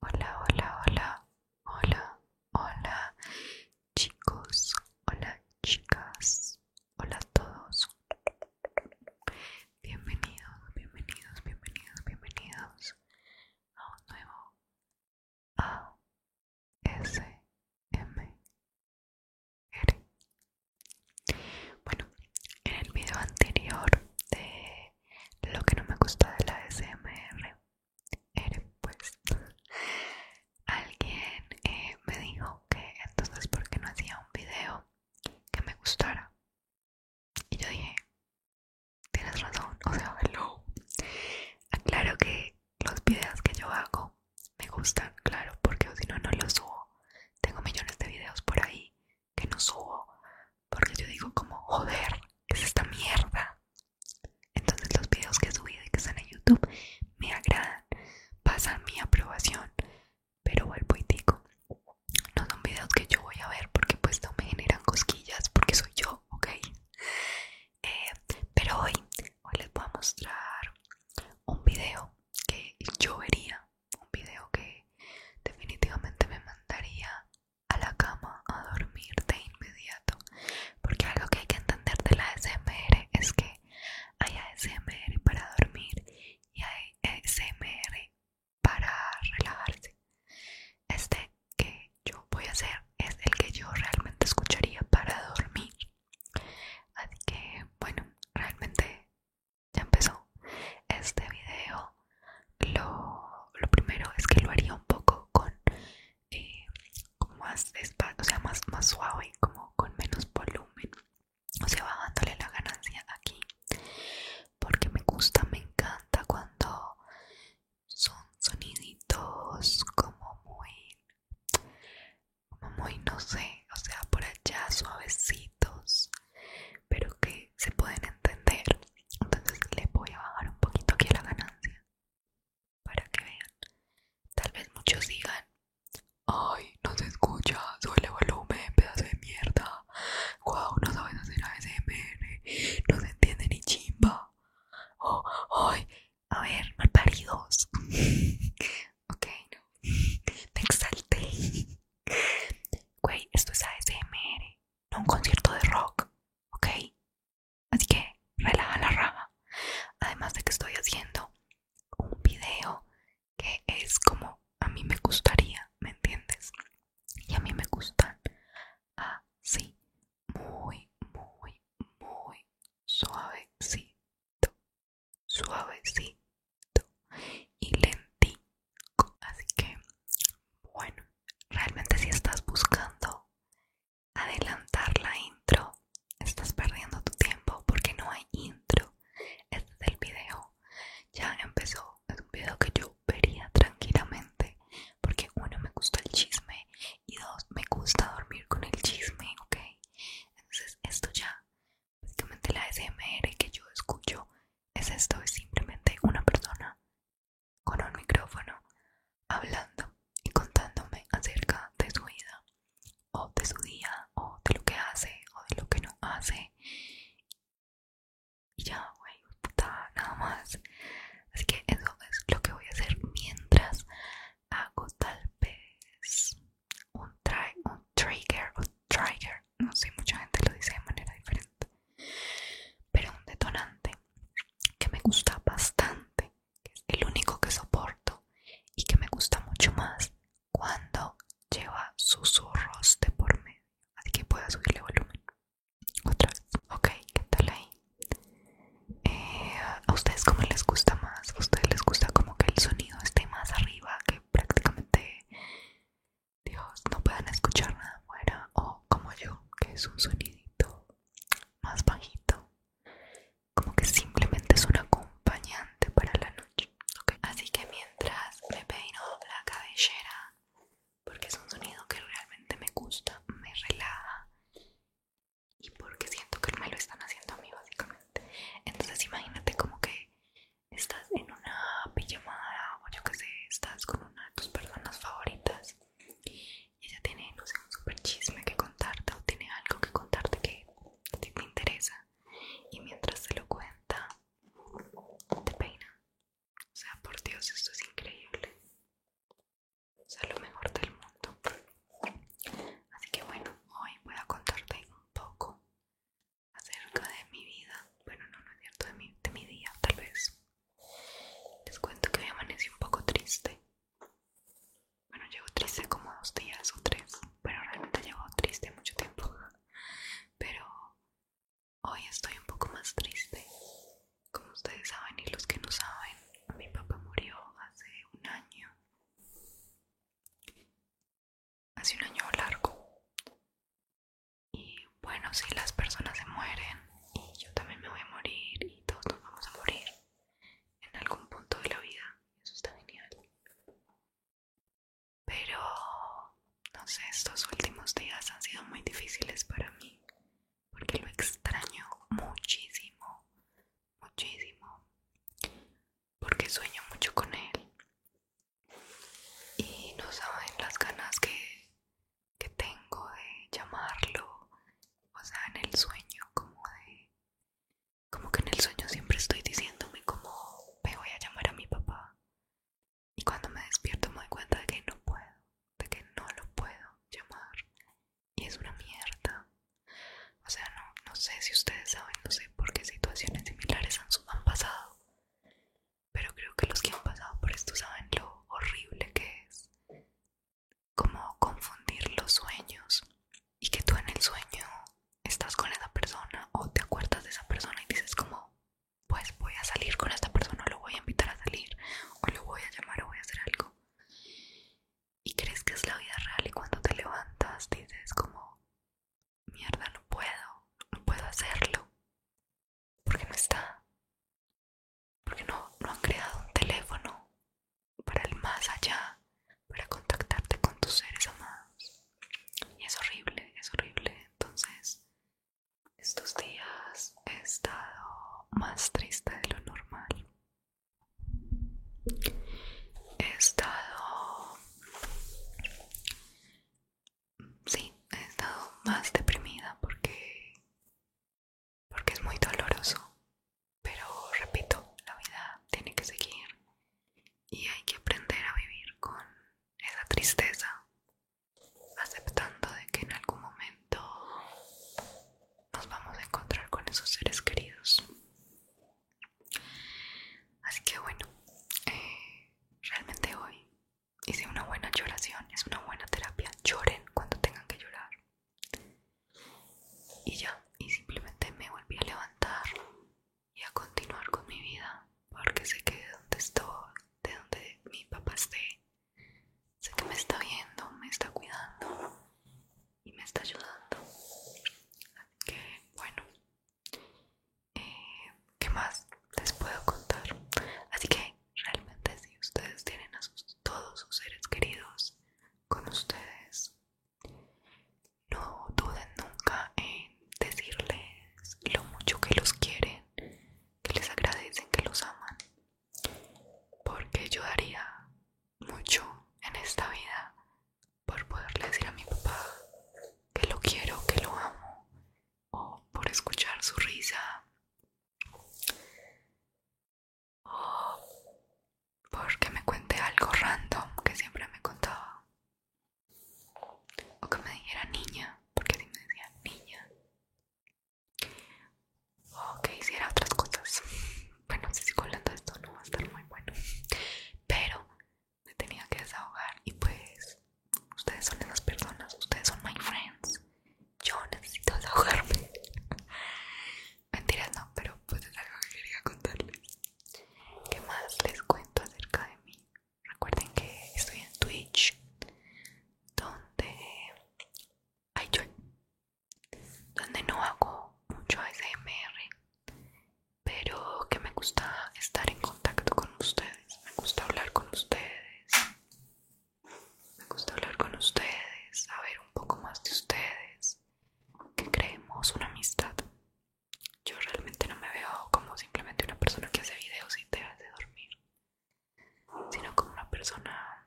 Hola, hola, hola, hola, hola, chicos, hola, chicas, hola a todos. Bienvenidos, bienvenidos, bienvenidos, bienvenidos a un nuevo ASMR. Bueno, en el video anterior de lo que no me gusta de la SMR era eh, pues alguien eh, me dijo que entonces por qué no hacía un video que me gustara y yo dije tienes razón o sea hello aclaro que los videos que yo hago me gustan claro porque si no no los subo tengo millones de videos por ahí que no subo porque yo digo como joder es esta mierda entonces los videos que subí subido y que están en youtube me agradan pasan mi aprobación pero vuelvo y digo no son videos que yo voy a ver porque pues no me generan cosquillas porque soy yo ok eh, pero hoy hoy les voy a mostrar un video que yo vería un video que definitivamente me mandaría a la cama a dormir de inmediato porque algo que hay que entender de la ASMR es que hay ASMR para dormir y hay ASMR para relajarse este que yo voy a hacer es el que yo realmente escucharía para dormir así que bueno realmente ya empezó este video lo, primero es que lo haría un poco con eh, como más sea más, más suave como con menos volumen o sea bajándole la ganancia aquí porque me gusta me encanta cuando son soniditos como muy como muy no sé o sea por allá suavecitos pero que se pueden entender. Entonces les voy a bajar un poquito aquí a la ganancia para que vean. Tal vez muchos digan, ay, no se escucha, sube volumen, pedazo de mierda. Wow, no sabes hacer ASMR, no se entiende ni chimba. Oh, ay, a ver, malparidos. ok, no. Me exalté. Güey, esto es ASMR, no un concierto de rock, ¿ok? Así que relaja la rama. Además de que estoy haciendo un video que es como a mí me gustaría, ¿me entiendes? Y a mí me gustan así, muy, muy, muy suavecito, suavecito y lentico así que bueno realmente si estás buscando adelantar la intro estás perdiendo tu tiempo porque no hay intro este es el video ya empezó es un video que yo vería tranquilamente porque uno me gusta el chisme y dos me gusta dormir con el chisme ok entonces esto ya Básicamente la SMR que yo escucho es esto, es simplemente una persona con un micrófono hablando y contándome acerca de su vida o de su día o de lo que hace o de lo que no hace. Y ya, güey, puta, nada más. Así que eso es lo que voy a hacer mientras hago tal vez un, trigger no sé, mucha gente lo dice de manera diferente, pero un detonante que me gusta bastante, es el único que soporto y que me gusta mucho más cuando lleva susurros de por medio, así que puedo subirle volumen. Otra vez, ok, ¿qué tal ahí? Eh, ¿A ustedes cómo les gusta más? ¿A ustedes les gusta como que el sonido esté más arriba, que prácticamente Dios no puedan escuchar nada afuera o como yo que es un sonidito más bajito como que simplemente es un acompañante para la noche así que mientras me peino la cabellera porque es un sonido que realmente me gusta me relaja y porque siento que me lo están haciendo a mí básicamente entonces imagínate como que estás en una pijamada o yo que sé, estás con una de tus personas favoritas y ella tiene, no sé, un super chisme que contarte o tiene algo que contarte que te interesa y mientras te lo cuenta te peina. O sea, por Dios, esto es increíble. O sea, lo mejor del mundo. Así que bueno, hoy voy a contarte un poco acerca de mi vida. Bueno, no, no es cierto, de mi, de mi día, tal vez. Les cuento que hoy amanecí un poco triste. Bueno, llevo triste como dos días o tres, pero realmente llevo triste mucho tiempo. Pero hoy estoy un poco más triste. Como ustedes saben y los que no saben, mi papá murió hace un año hace un año largo. Y bueno, si las personas se mueren y yo también me voy a morir y todos nos vamos a morir en algún punto de la vida, eso está genial. Pero, no sé, estos últimos días han sido muy difíciles para mí porque lo extraño muchísimo, muchísimo porque sueño mucho con él y no saben las ganas que, que tengo de llamarlo, o sea, en el sueño como de... Como que en el sueño siempre estoy diciéndome como me voy a llamar a mi papá. Y cuando me despierto me doy cuenta de que no puedo, de que no lo puedo llamar y es una mierda. O sea, no, no sé si ustedes saben, no sé por qué situaciones similares han, han pasado, pero creo que los que han pasado por esto saben lo horrible que es. Como confundir los sueños y que tú en el sueño estás con esa persona o te acuerdas de esa persona y dices como, pues voy a salir con esta persona, o lo voy a invitar a salir, o lo voy a llamar o voy a hacer algo y crees que es la vida real y cuando te levantas dices como, mierda, no puedo, no puedo hacerlo, porque no está, porque no, no han creado un teléfono para el más allá, para contactarte con tus seres amados. Y es horrible, es horrible. Entonces, estos días he estado más triste de lo normal. He estado... Sí, he estado más deprimida porque... Porque es muy doloroso. Pero repito, la vida tiene que seguir y hay que aprender a vivir con esa tristeza, aceptando de que en algún momento nos vamos a encontrar con esos seres queridos. Así que bueno, eh, realmente hoy hice una buena lloración, es una buena terapia. Lloren cuando tengan que llorar. Y ya, y simplemente me volví a levantar y a continuar con mi vida, porque sé que de donde estoy, de donde mi papá esté, sé que me está viendo, me está cuidando y me está ayudando. Así que bueno, eh, ¿qué más les puedo contar? Así que realmente si ustedes tienen a sus, todos sus seres queridos con ustedes, no duden nunca en decirles lo mucho que los quieren, que les agradecen, que los aman, porque yo daría mucho en esta vida por poderle decir a mi papá que lo quiero, que lo amo, o por escuchar su risa, o porque me cuente algo random que siempre me contaba, o que me dijera niña, porque si decía niña, o que hiciera otras cosas. Bueno, si sé hablando colando esto no va a estar muy bueno, pero me tenía que desahogar y pues ustedes son esas personas, ustedes son my friends. Yo necesito desahogarme. Mentiras no, pero pues es algo que quería contarles. ¿Qué más les cuento acerca de mí? Recuerden que estoy en Twitch, donde... Hay yo, donde no hago mucho ASMR, pero que me gusta estar en contacto con ustedes, me gusta hablar con ustedes, me gusta hablar con ustedes, saber un poco más de ustedes, que creemos una amistad. Yo realmente no me veo como simplemente una persona que hace videos y te hace dormir sino como una persona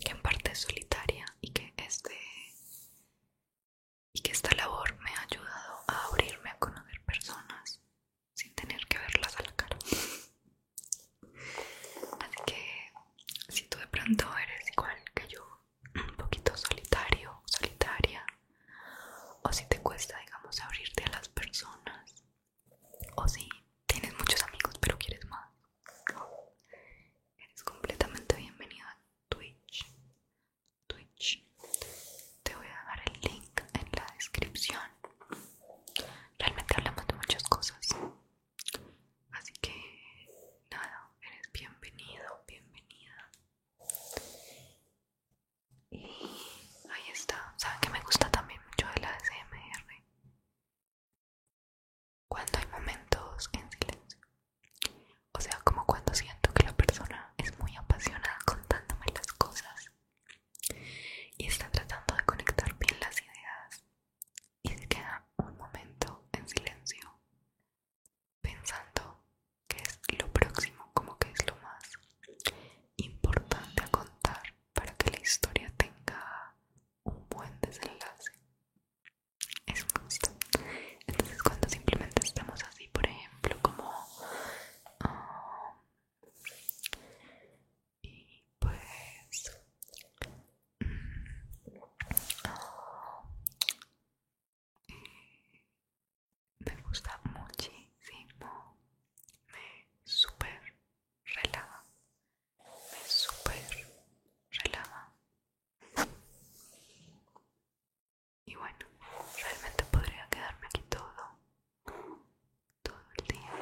que en parte es solitaria y que este y que esta labor me ha ayudado a abrirme a conocer personas sin tener que verlas a la cara. Así que si tú de pronto eres igual que yo, un poquito solitario, solitaria, o si te cuesta, digamos, abrirte a las personas, o si tienes muchos amigos pero quieres más, eres completamente bienvenido a Twitch. Twitch. Te voy a dejar el link en la descripción. Realmente hablamos de muchas cosas. Así que nada, eres bienvenido, bienvenida. Y ahí está. ¿Saben que me gusta también mucho de la SMR? cuando hay momentos en silencio. O sea, como cuando siento que la persona es muy apasionada contándome las cosas y está tratando de conectar bien las ideas y se queda un momento en silencio pensando que es lo próximo, como que es lo más importante a contar para que la historia tenga un buen desenlace. Es un Entonces cuando simplemente estamos así, por ejemplo, como... Ah, y pues... Mm, ah, me gusta muchísimo, me super relaja, me súper relaja. Y bueno, realmente podría quedarme aquí todo, todo el día,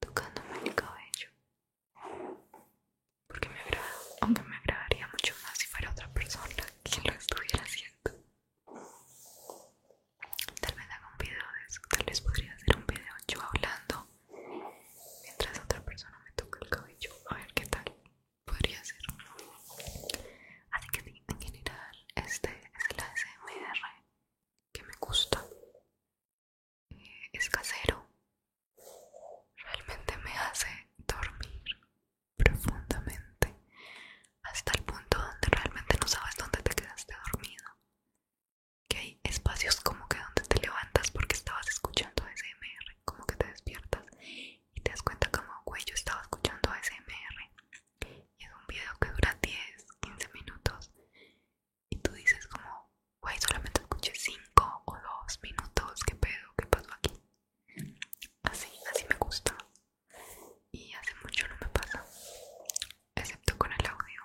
tocándome el cabello, porque me agrada, aunque me agradaría mucho más si fuera otra persona quien lo estuviera haciendo. Tal vez haga un video de eso. Tal vez podría hacer un video yo hablando mientras otra persona me toca el cabello. A ver qué tal podría ser. Así que en general, este es el ASMR que me gusta. Eh, es casero. Realmente me hace dormir profundamente hasta el punto donde realmente no sabes dónde te quedaste dormido. Que hay espacios como que donde te levantas porque estabas escuchando ASMR, como que te despiertas y te das cuenta como, güey, yo estaba escuchando ASMR. Y es un video que dura 10, 15 minutos y tú dices como, güey, solamente escuché 5 o 2 minutos, ¿qué pedo? ¿Qué pasó aquí? Así, así me gusta y hace mucho no me pasa excepto con el audio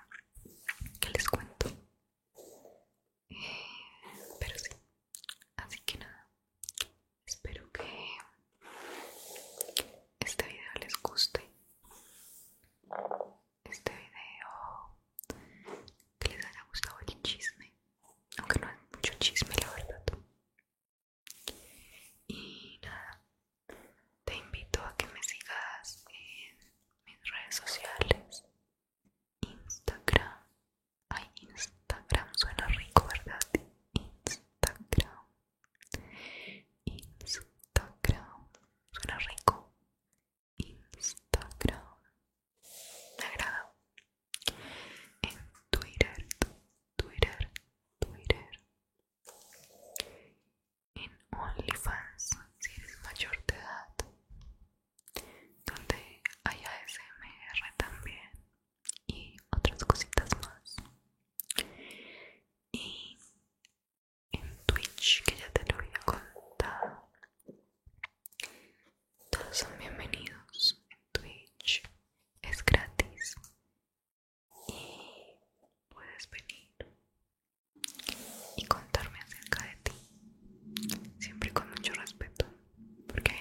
que les cuento eh, pero sí así que nada espero que este video les guste este video que les haya gustado el chisme aunque no hay mucho chisme la verdad y nada, te invito a que me sigas en mis redes sociales. Instagram. Ay, Instagram suena rico, ¿verdad? Instagram. Instagram. Suena rico. Instagram. Me agrada. En Twitter. Twitter. Twitter en OnlyFans si eres mayor de edad donde hay ASMR también y otras cositas más y en Twitch que ya te lo había contado todos son bienvenidos en Twitch es gratis y puedes venir y contarme acerca de ti, siempre con mucho respeto, porque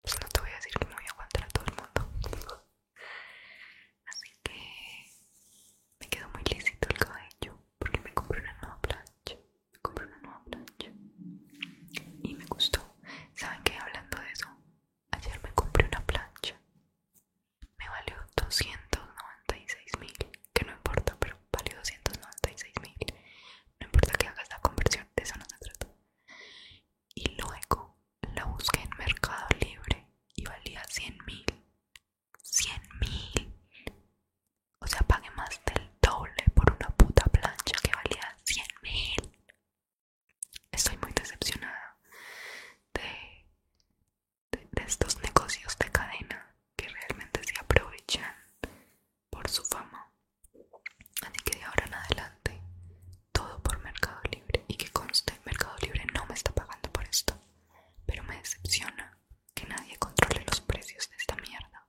pues, no te voy a decir que voy a aguantar a todo el mundo. Así que me quedo muy lícito el cabello porque me compré una nueva plancha. Me compré una nueva plancha y me gustó. ¿Saben que hablando de eso? Ayer me compré una plancha. Me valió 296 mil. Que no importa, pero valió 296 mil. No importa que hagas la conversión, de eso no se trata. Y luego la busqué en Mercado Libre y valía 100 mil. mil. O sea, pagué más del doble por una puta plancha que valía 100.000 mil. Estoy muy decepcionada de, estos negocios de cadena que realmente se aprovechan por su fama. Así que de ahora en adelante, todo por Mercado Libre. Y que conste, Mercado Libre no me está pagando por esto. Pero me decepciona que nadie controle los precios de esta mierda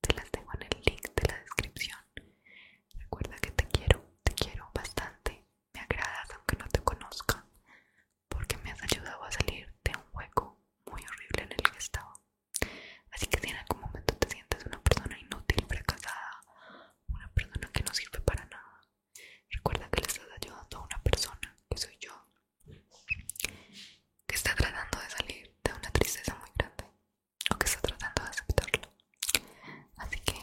te las tengo en el link de la descripción. Recuerda que te quiero, te quiero bastante. Me agradas aunque no te conozca, porque me has ayudado a salir de un hueco muy horrible en el que estaba. Así que si en algún momento te sientes una persona inútil, fracasada, una persona que no sirve para nada, recuerda que le estás ayudando a una persona, que soy yo, que está tratando de salir de una tristeza muy grande o que está tratando de aceptarlo. Así que,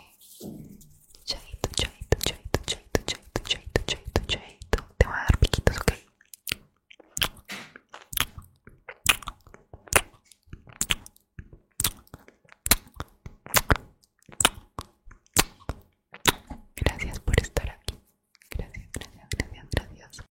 chaito, chaito, chaito, chaito, chaito, chaito, chaito, chaito. Te voy a dar piquitos, ok. Gracias por estar aquí. Gracias, gracias, gracias, gracias.